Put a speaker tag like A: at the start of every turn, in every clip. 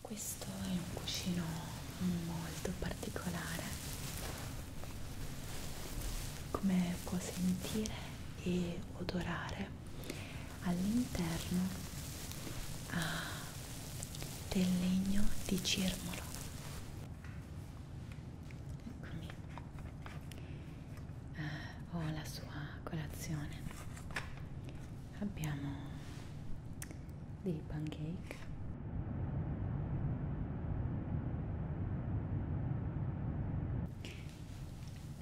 A: Questo è un cuscino molto particolare, come può sentire e odorare all'interno ha del legno di cirmolo. Eccomi, eh, ho la sua colazione abbiamo dei pancake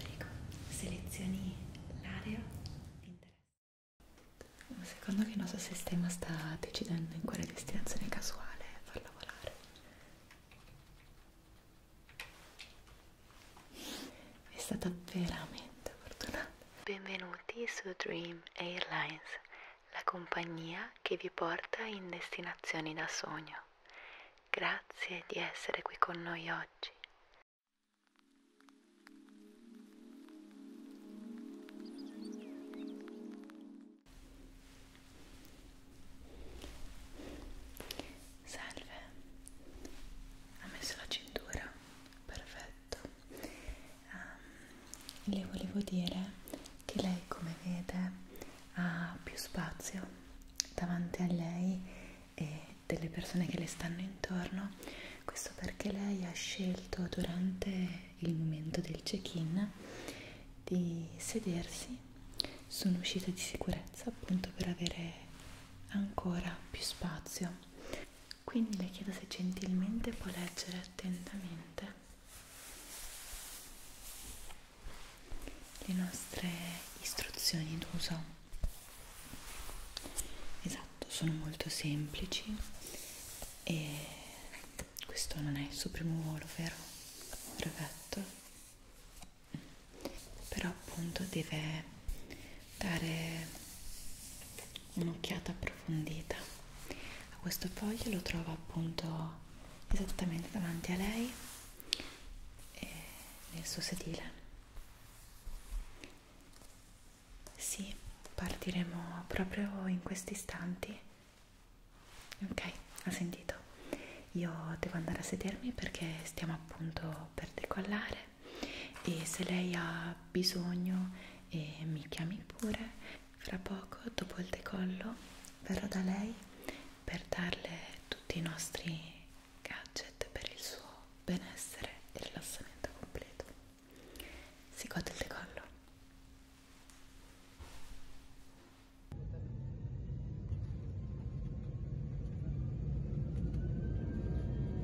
A: prego selezioni l'area secondo che il nostro sistema sta decidendo in quale destinazione casuale far lavorare è stata veramente fortunata Benvenuti su Dream Airlines, la compagnia che vi porta in destinazioni da sogno. Grazie di essere qui con noi oggi. Salve, ha messo la cintura, perfetto fatto um, ehm, le volevo dire che lei come vede ha più spazio davanti a lei e delle persone che le stanno intorno questo perché lei ha scelto durante il momento del check-in di sedersi su un'uscita di sicurezza appunto per avere ancora più spazio quindi le chiedo se gentilmente può leggere attentamente le nostre istruzioni d'uso esatto sono molto semplici e questo non è il suo primo volo vero brevetto però appunto deve dare un'occhiata approfondita a questo foglio lo trova appunto esattamente davanti a lei e nel suo sedile sì partiremo proprio in questi istanti ok ha sentito io devo andare a sedermi perché stiamo appunto per decollare e se lei ha bisogno eh, mi chiami pure fra poco dopo il decollo verrò da lei per darle tutti i nostri gadget per il suo benessere e rilassamento completo si gode il decollo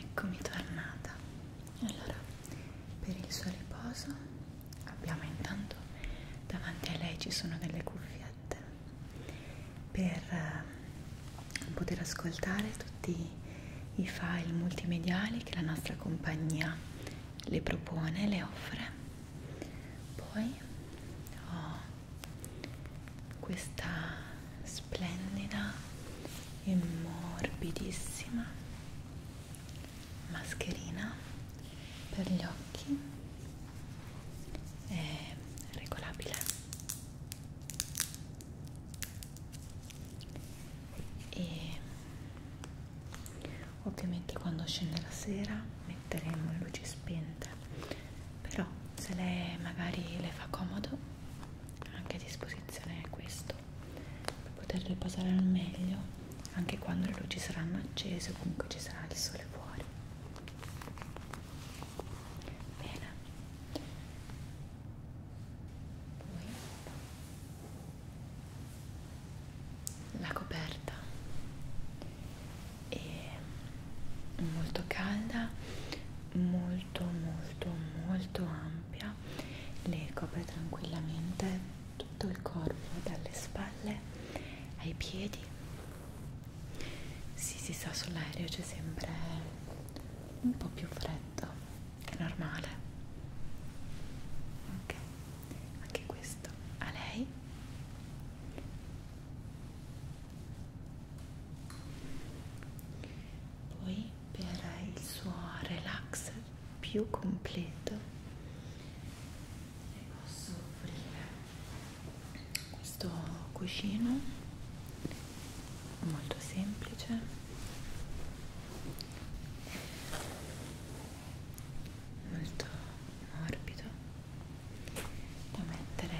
A: Eccomi tornata. Allora, per il suo riposo abbiamo intanto davanti a lei ci sono delle cuffiette per eh, poter ascoltare tutti i file multimediali che la nostra compagnia le propone, le offre. Poi ho questa splendida e morbidissima mascherina per gli occhi è regolabile e ovviamente quando scende la sera metteremo le luci spente però se lei magari le fa comodo anche a disposizione è questo per poterle passare al meglio anche quando le luci saranno accese o comunque ci sarà il sole fuori bene poi la coperta è molto calda molto molto molto ampia le copre tranquillamente tutto il corpo dalle spalle ai piedi sì si sa sull'aereo c'è sempre un po' più freddo normale ok anche questo a lei poi per il suo relax più completo le posso offrire questo cuscino molto semplice molto morbido da mettere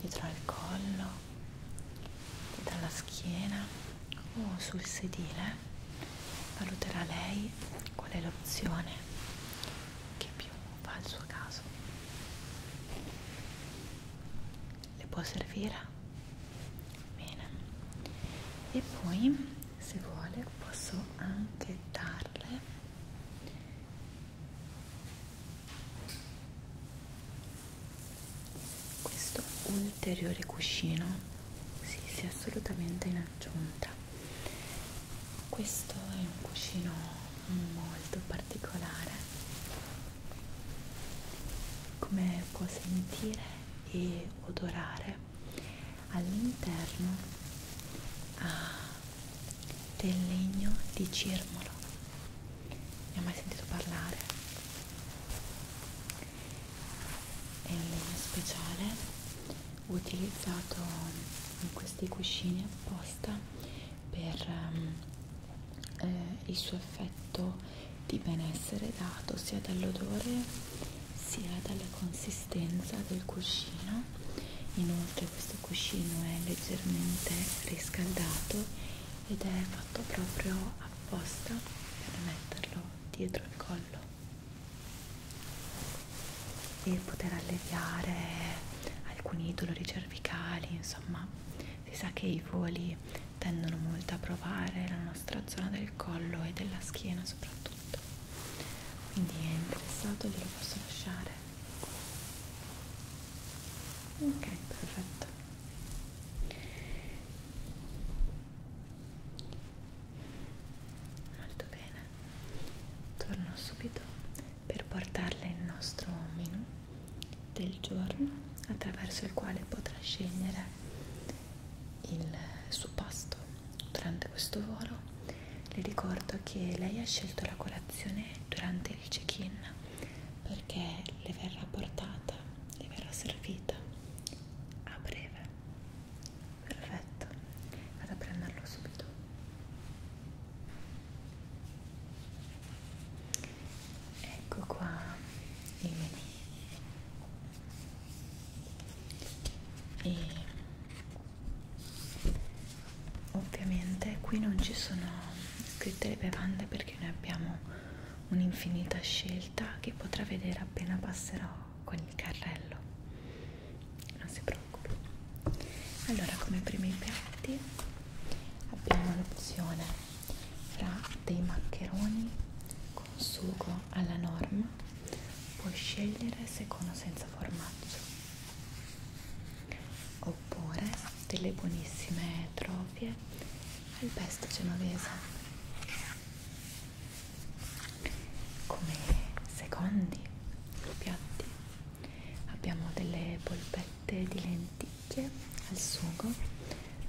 A: dietro al collo dalla schiena o sul sedile valuterà lei qual è l'opzione che più fa al suo caso le può servire bene e poi se vuole posso anche darle questo ulteriore cuscino si sì, sì, assolutamente in aggiunta questo è un cuscino molto particolare come può sentire e odorare all'interno ha ah, del legno di cirmolo ne ho mai sentito parlare è un legno speciale utilizzato in questi cuscini apposta per um, eh, il suo effetto di benessere dato sia dall'odore sia dalla consistenza del cuscino inoltre questo cuscino è leggermente riscaldato ed è fatto proprio apposta per metterlo dietro il collo e poter alleviare alcuni dolori cervicali insomma si sa che i voli tendono molto a provare la nostra zona del collo e della schiena soprattutto quindi è interessato glielo posso lasciare ok perfetto molto bene torno subito per portarle il nostro menù del giorno attraverso il quale potrà scegliere il suo pasto durante questo volo. Le ricordo che lei ha scelto la colazione durante il check-in perché le verrà portata, le verrà servita a breve. Perfetto, vado a prenderlo subito ecco qua il menù e ovviamente qui non ci sono scritte le bevande perché noi abbiamo un'infinita scelta che potrà vedere appena passerò con il carrello non si preoccupi allora come primi piatti abbiamo l'opzione fra dei maccheroni con sugo alla norma puoi scegliere se con o senza formaggio oppure delle buonissime trofie al pesto genovese come secondi piatti abbiamo delle polpette di lenticchie zucche al sugo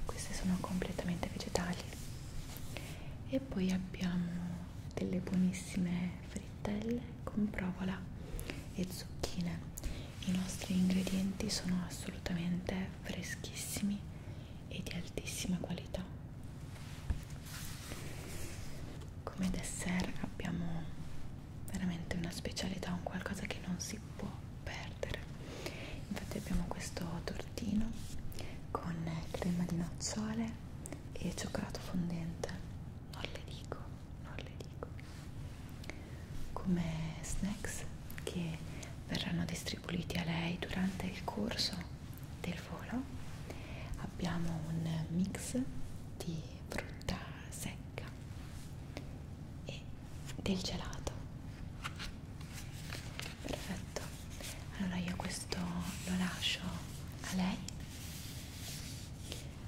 A: queste sono completamente vegetali e poi abbiamo delle buonissime frittelle con provola e zucchine i nostri ingredienti sono assolutamente freschissimi e di altissima qualità come dessert abbiamo veramente una specialità un qualcosa che non si può perdere infatti abbiamo questo tortino con crema di nocciole e cioccolato fondente non le dico non le dico come snacks che verranno distribuiti a lei durante il corso del volo abbiamo un mix di frutta secca e del gelato perfetto allora io questo lo lascio a lei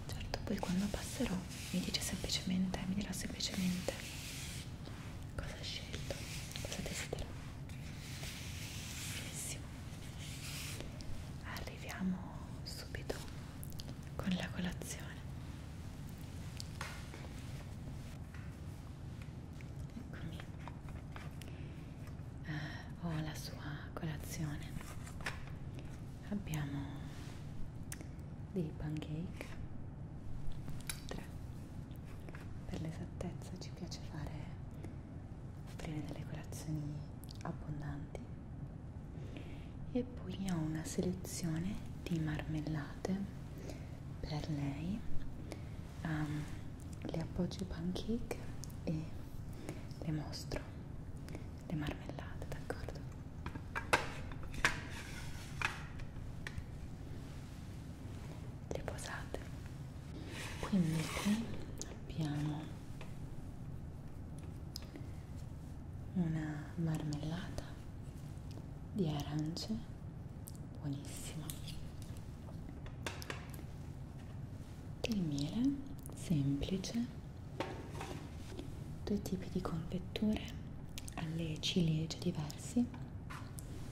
A: certo poi quando passerò mi dice semplicemente mi dirà semplicemente cosa ha scelto cosa desidera benissimo arriviamo subito con la colazione Eccomi. Ah, ho oh, la sua colazione. Abbiamo dei pancake. Tre. Per l'esattezza ci piace fare offrire delle colazioni abbondanti. E poi ho una selezione di marmellate per lei um, le appoggio i pancake e le mostro le marmellate d'accordo le posate quindi qui abbiamo una marmellata di arance buonissima del miele semplice due tipi di confetture alle ciliegie diversi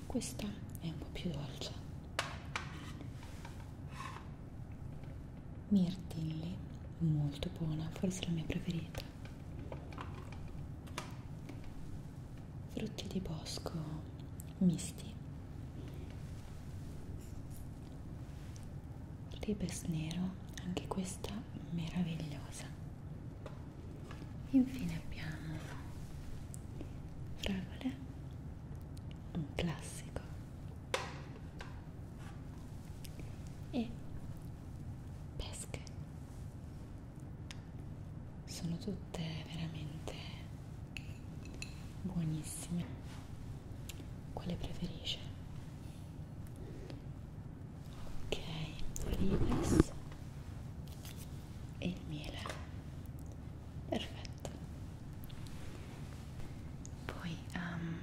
A: questa è un po' più dolce mirtilli molto buona forse la mia preferita frutti di bosco misti, ribes nero, anche questa meravigliosa. Infine abbiamo fragole, un classico e pesche sono tutte veramente buonissime quale preferisce ok olives e il miele perfetto poi um,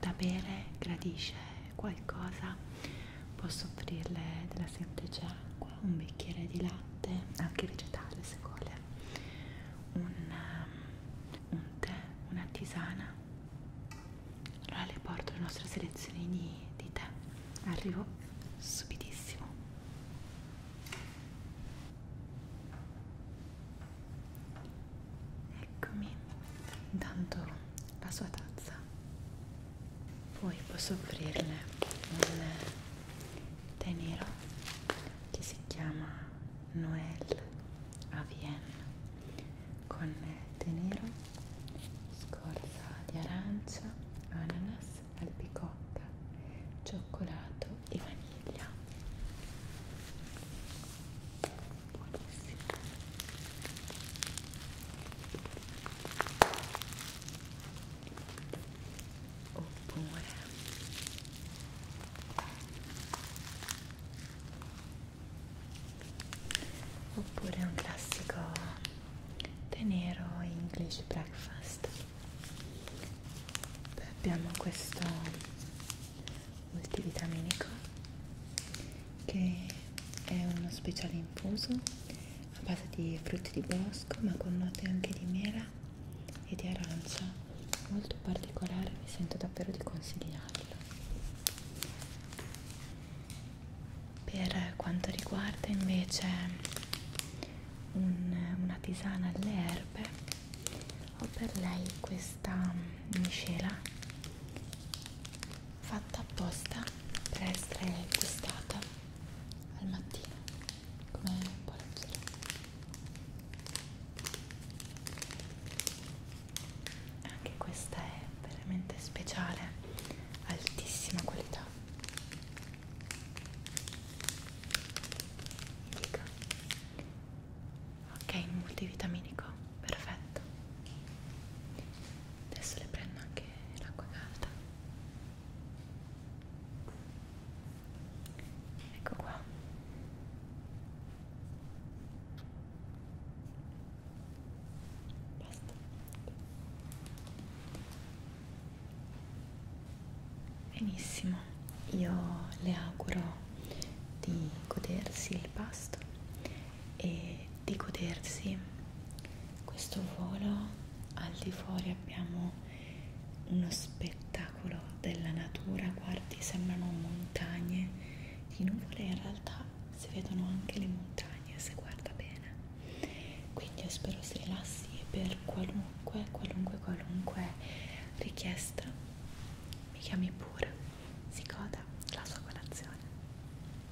A: da bere gradisce qualcosa posso offrirle della semplice acqua, un bicchiere di latte, anche vegetale se vuole, un, um, un tè, una tisana. Allora le porto la nostra selezione di, di tè. Arrivo subitissimo. Eccomi, intanto la sua tazza poi posso offrirle un tè nero che si chiama Noël a Vienna con tè nero, scorza di arancia, ananas, albicotta, cioccolato e vaniglia buonissimo oppure oppure un classico tè nero English breakfast Beh, abbiamo questo multivitaminico che è uno speciale infuso a base di frutti di bosco ma con note anche di mela e di arancia molto particolare mi sento davvero di consigliarlo per quanto riguarda invece un, una tisana alle erbe ho per lei questa miscela fatta apposta per essere gustata al mattino come palestra anche questa è veramente speciale altissima qualità Dica. ok multivitaminico perfetto adesso le prendo anche l'acqua calda ecco qua Basta. benissimo io le auguro di godersi il pasto e di godersi questo volo. Al di fuori abbiamo uno spettacolo della natura, guardi, sembrano montagne di nuvole, in realtà si vedono anche le montagne se guarda bene. Quindi io spero si rilassi e per qualunque, qualunque, qualunque richiesta mi chiami pure, si goda la sua colazione.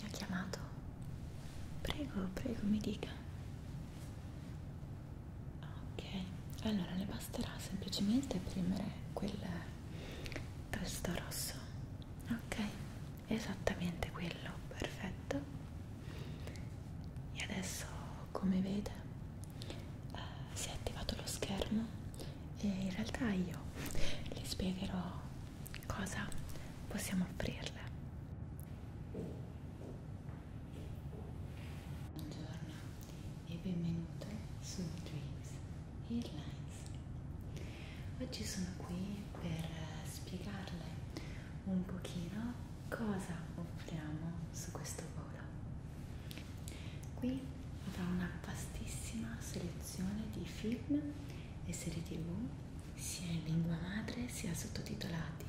A: Mi ha chiamato. Prego, prego, mi dica. Ok, allora le basterà semplicemente premere quel tasto rosso. Ok, esattamente quello perfetto e adesso come vede eh, si è attivato lo schermo e in realtà io le spiegherò cosa possiamo offrirle buongiorno e benvenuto su Dreams Airlines Oggi sono qui per eh, spiegarle un pochino cosa offriamo su questo volo. Qui avrà una vastissima selezione di film e serie tv, sia in lingua madre sia sottotitolati.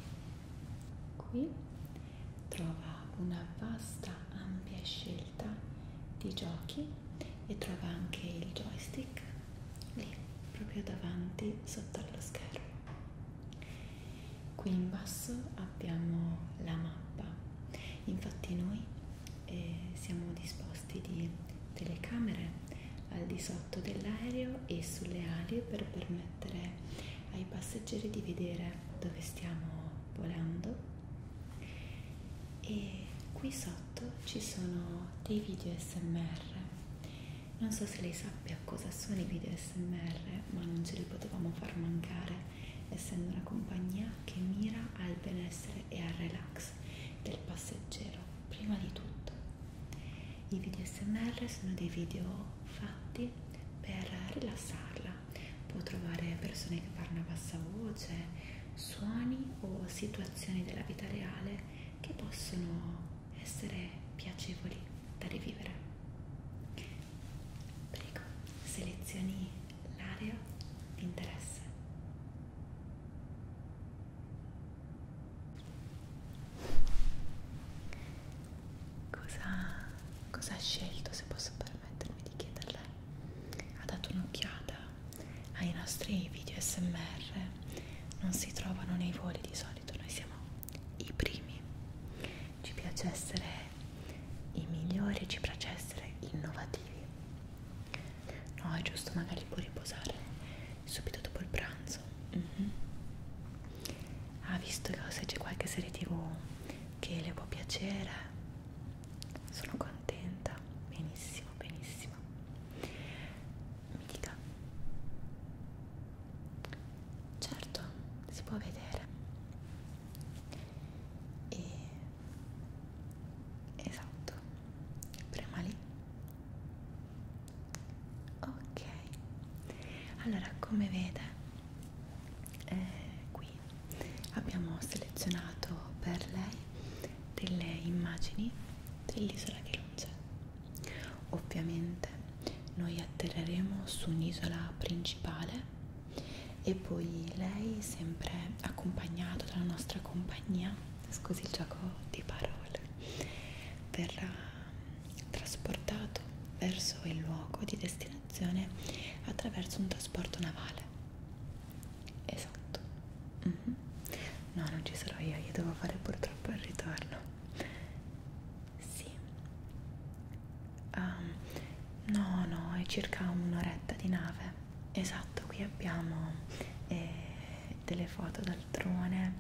A: Qui trova una vasta ampia scelta di giochi e trova anche il joystick lì proprio davanti sotto allo schermo qui in basso abbiamo la mappa infatti noi eh, siamo disposti di telecamere al di sotto dell'aereo e sulle ali per permettere ai passeggeri di vedere dove stiamo volando e qui sotto ci sono dei video smr non so se lei sappia cosa sono i video SMR, ma non ce li potevamo far mancare, essendo una compagnia che mira al benessere e al relax del passeggero, prima di tutto. I video SMR sono dei video fatti per rilassarla. Può trovare persone che parlano a bassa voce, suoni o situazioni della vita reale che possono essere piacevoli da rivivere. Prego, selezioni l'area di interesse. Cosa, cosa ha scelto, se posso permettermi di chiederle? Ha dato un'occhiata ai nostri video smr non si trovano nei voli di solito noi siamo i primi ci piace essere i migliori ci piace essere innovativi no è giusto magari può riposare subito dopo il pranzo mm -hmm. ha ah, visto che se c'è qualche serie tv che le può piacere sono contenta benissimo benissimo benissimo mi dica certo si può vedere e esatto prima lì ok allora come vede eh, qui abbiamo selezionato per lei delle immagini dell'isola di Lonce Ovviamente noi atterreremo su un'isola principale e poi lei sempre accompagnato dalla nostra compagnia, scusi il gioco di parole, verrà trasportato verso il luogo di destinazione attraverso un trasporto navale. Esatto. Mm -hmm. No, non ci sarò io, io devo fare purtroppo il ritorno. Sì. Um, no, no, è circa un'oretta di nave. Esatto, qui abbiamo eh, delle foto dal drone,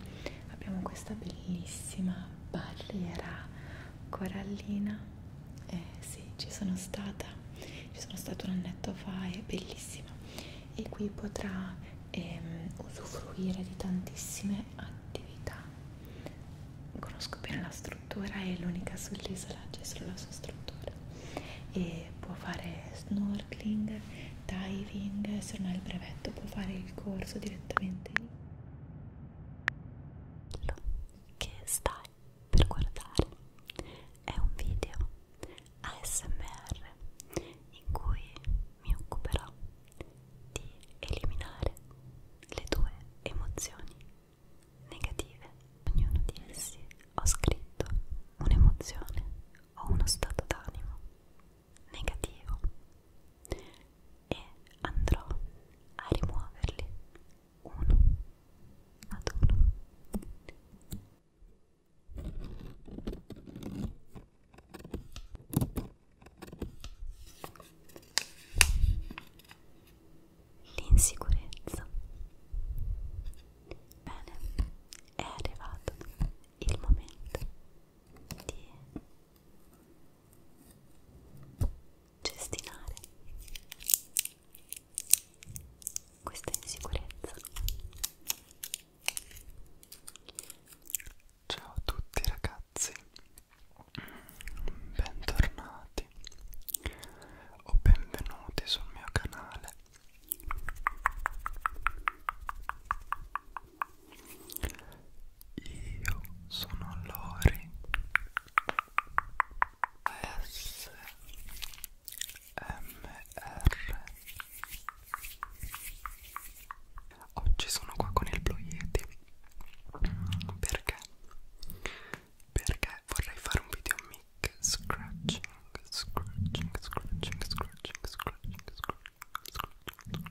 A: abbiamo questa bellissima barriera corallina. Eh sì, ci sono stata, ci sono stata un annetto fa, è bellissima. E qui potrà e ehm, usufruire di tantissime attività. Conosco bene la struttura, è l'unica sull'isola, c'è solo la sua struttura e può fare snorkeling, diving, se non ha il brevetto può fare il corso direttamente lì che stai per guardare è un video ASMR in cui mi occuperò di eliminare le tue emozioni negative. Ognuno di essi ho scritto un'emozione o uno stato d'animo negativo e andrò a rimuoverli uno ad uno
B: L'insicurezza. Bene, è arrivato il momento di gestinare questa insicurezza Ciao a tutti ragazzi, bentornati o benvenuti sul mio canale. Io sono Lori ASMR Oggi sono qua con il Blue Yeti Perché? Perché vorrei fare un video mic scratching, scratching, scratching, scratching, scratching, scratching, scratching.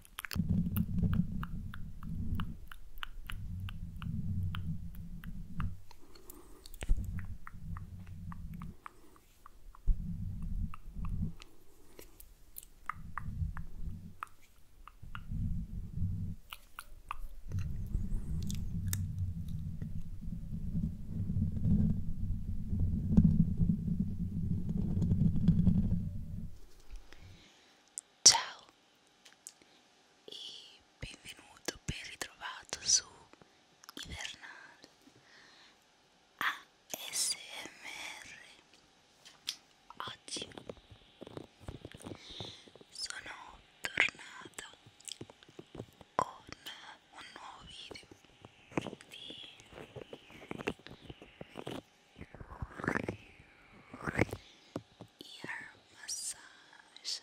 B: Ciao e benvenuto, ben ritrovato su Ivernal. ASMR oggi sono tornata con un nuovo video di ear massage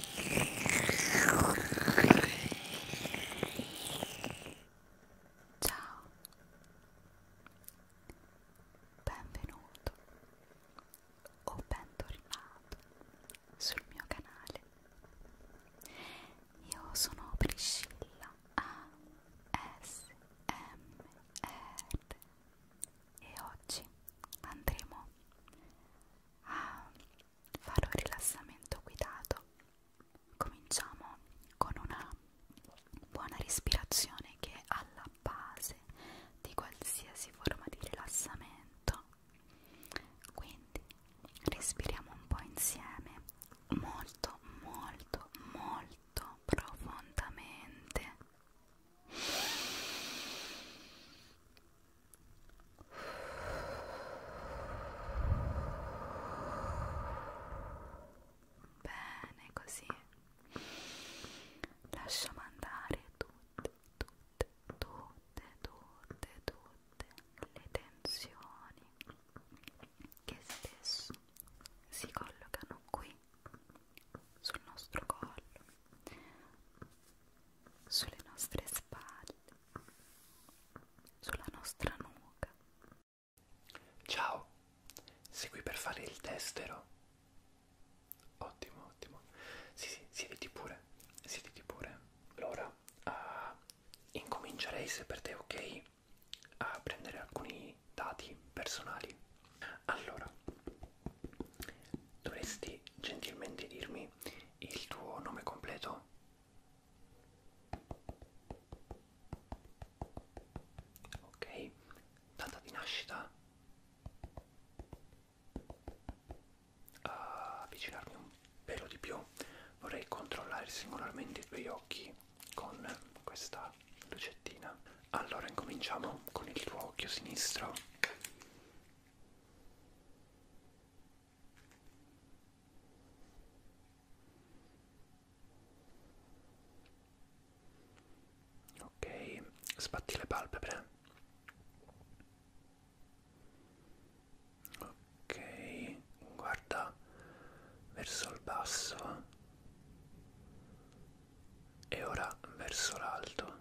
B: Ciao, benvenuto o bentornato sul mio canale. Io sono Priscilla ASMR e oggi andremo a fare un rilassamento guidato. Cominciamo con una buona respirazione che è alla base di qualsiasi forma di rilassamento. Quindi respiriamo un po' insieme, molto, molto, molto profondamente. Bene, così lasciamo andare tutte, tutte, tutte, tutte, tutte le tensioni che spesso si collocano qui sul nostro collo sulle nostre spalle, sulla nostra nuca. Ciao, sei qui per fare il testero? Ottimo, ottimo. Sì, sì, siediti pure, siediti pure. Allora, uh, incomincerei se per te è ok a prendere alcuni dati personali. Allora, dovresti gentilmente dirmi il tuo nome completo? Ok, data di nascita? Uh, avvicinarmi un pelo di più, vorrei controllare singolarmente i tuoi occhi con questa lucettina. Allora incominciamo con il tuo occhio sinistro. Ok, sbatti le palpebre. Ok, guarda verso il basso e ora verso l'alto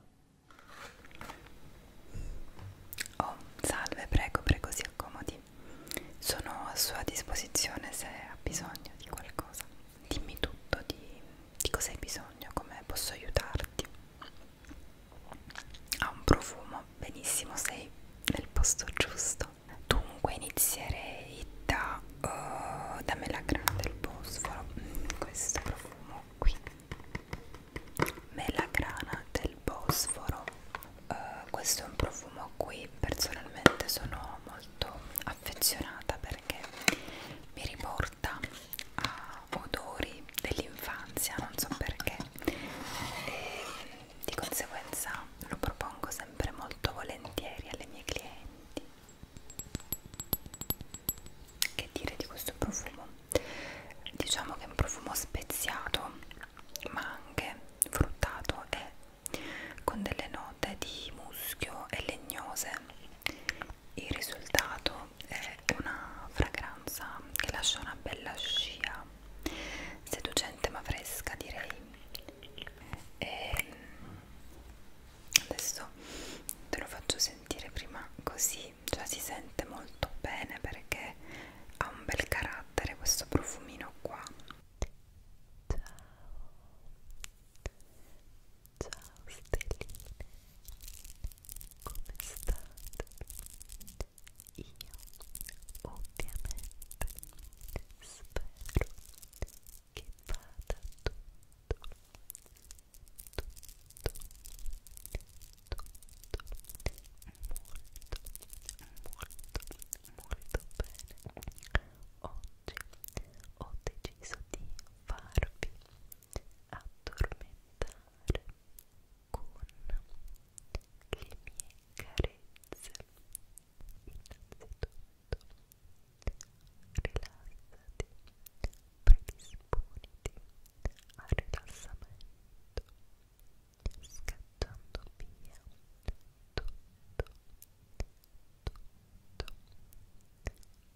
B: Oh, salve, prego, prego, si accomodi. Sono a sua disposizione se ha bisogno di qualcosa. Dimmi tutto di, di cosa hai bisogno, come posso aiutarti. Ha un profumo, benissimo, sei nel posto giusto. Dunque inizierei da, uh, eh, da melagrana del Bosforo, mm, questo profumo qui melagrana del Bosforo uh, questo è un profumo a cui personalmente sono molto affezionata perché mi riporta a odori dell'infanzia non so perché e di conseguenza lo propongo sempre molto volentieri alle mie clienti che dire di questo profumo diciamo che è un profumo speziato ma anche fruttato e con delle note di muschio e legnose il risultato è una fragranza che lascia una bella scia seducente ma fresca direi e adesso te lo faccio sentire prima così senti, cioè si sente molto bene perché ha un bel carattere questo profumino qua. Ciao, ciao stelline, come state? Io ovviamente spero che vada tutto, tutto, tutto molto bene oggi ho deciso di farvi addormentare con le mie carezze innanzitutto
A: rilassati predisponiti al rilassamento, scacciando via tutto, tutto,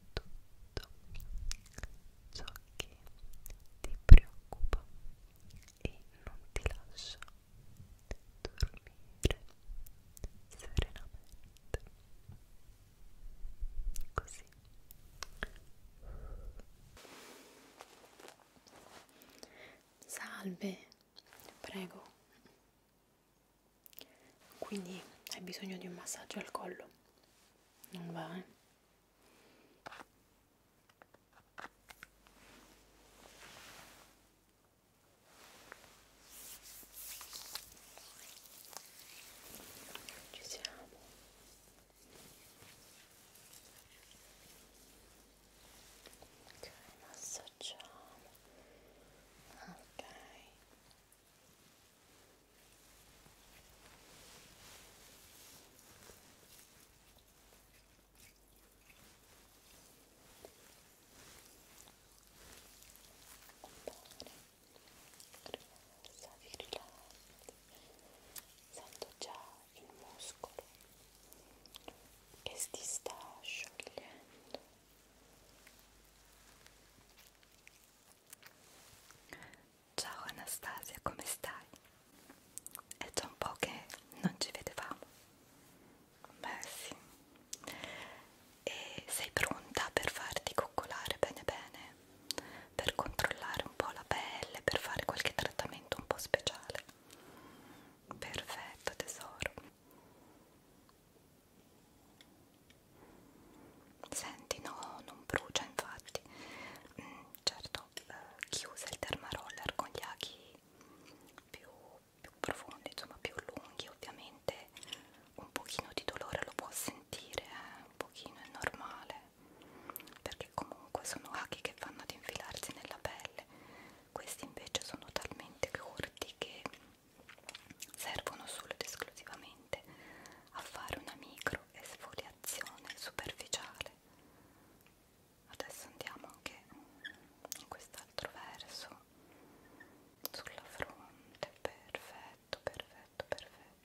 A: tutto ciò che ti preoccupa e non ti lascia dormire serenamente così Salve, prego. Quindi hai bisogno di un massaggio al collo. Non va, eh? Ci siamo ok massaggiamo ok Bene,
B: rilassati, rilassati, sento già il muscolo che si sta sciogliendo ciao Anastasia come stai? è già un po' che non ci vedevamo beh sì e sei pronta per farti coccolare bene bene? per controllare un po' la pelle, per fare qualche trattamento un po' speciale. Perfetto tesoro. Senti, no, non brucia infatti. Mm, certo, eh, chiuse il dermaroller con gli aghi più, più profondi, insomma più lunghi, ovviamente un pochino di dolore lo può sentire, eh? un pochino è normale perché comunque sono aghi che vanno ad infilarsi nella pelle questi invece sono talmente corti che servono solo ed esclusivamente a fare una micro esfoliazione superficiale adesso andiamo anche in quest'altro verso sulla fronte perfetto perfetto perfetto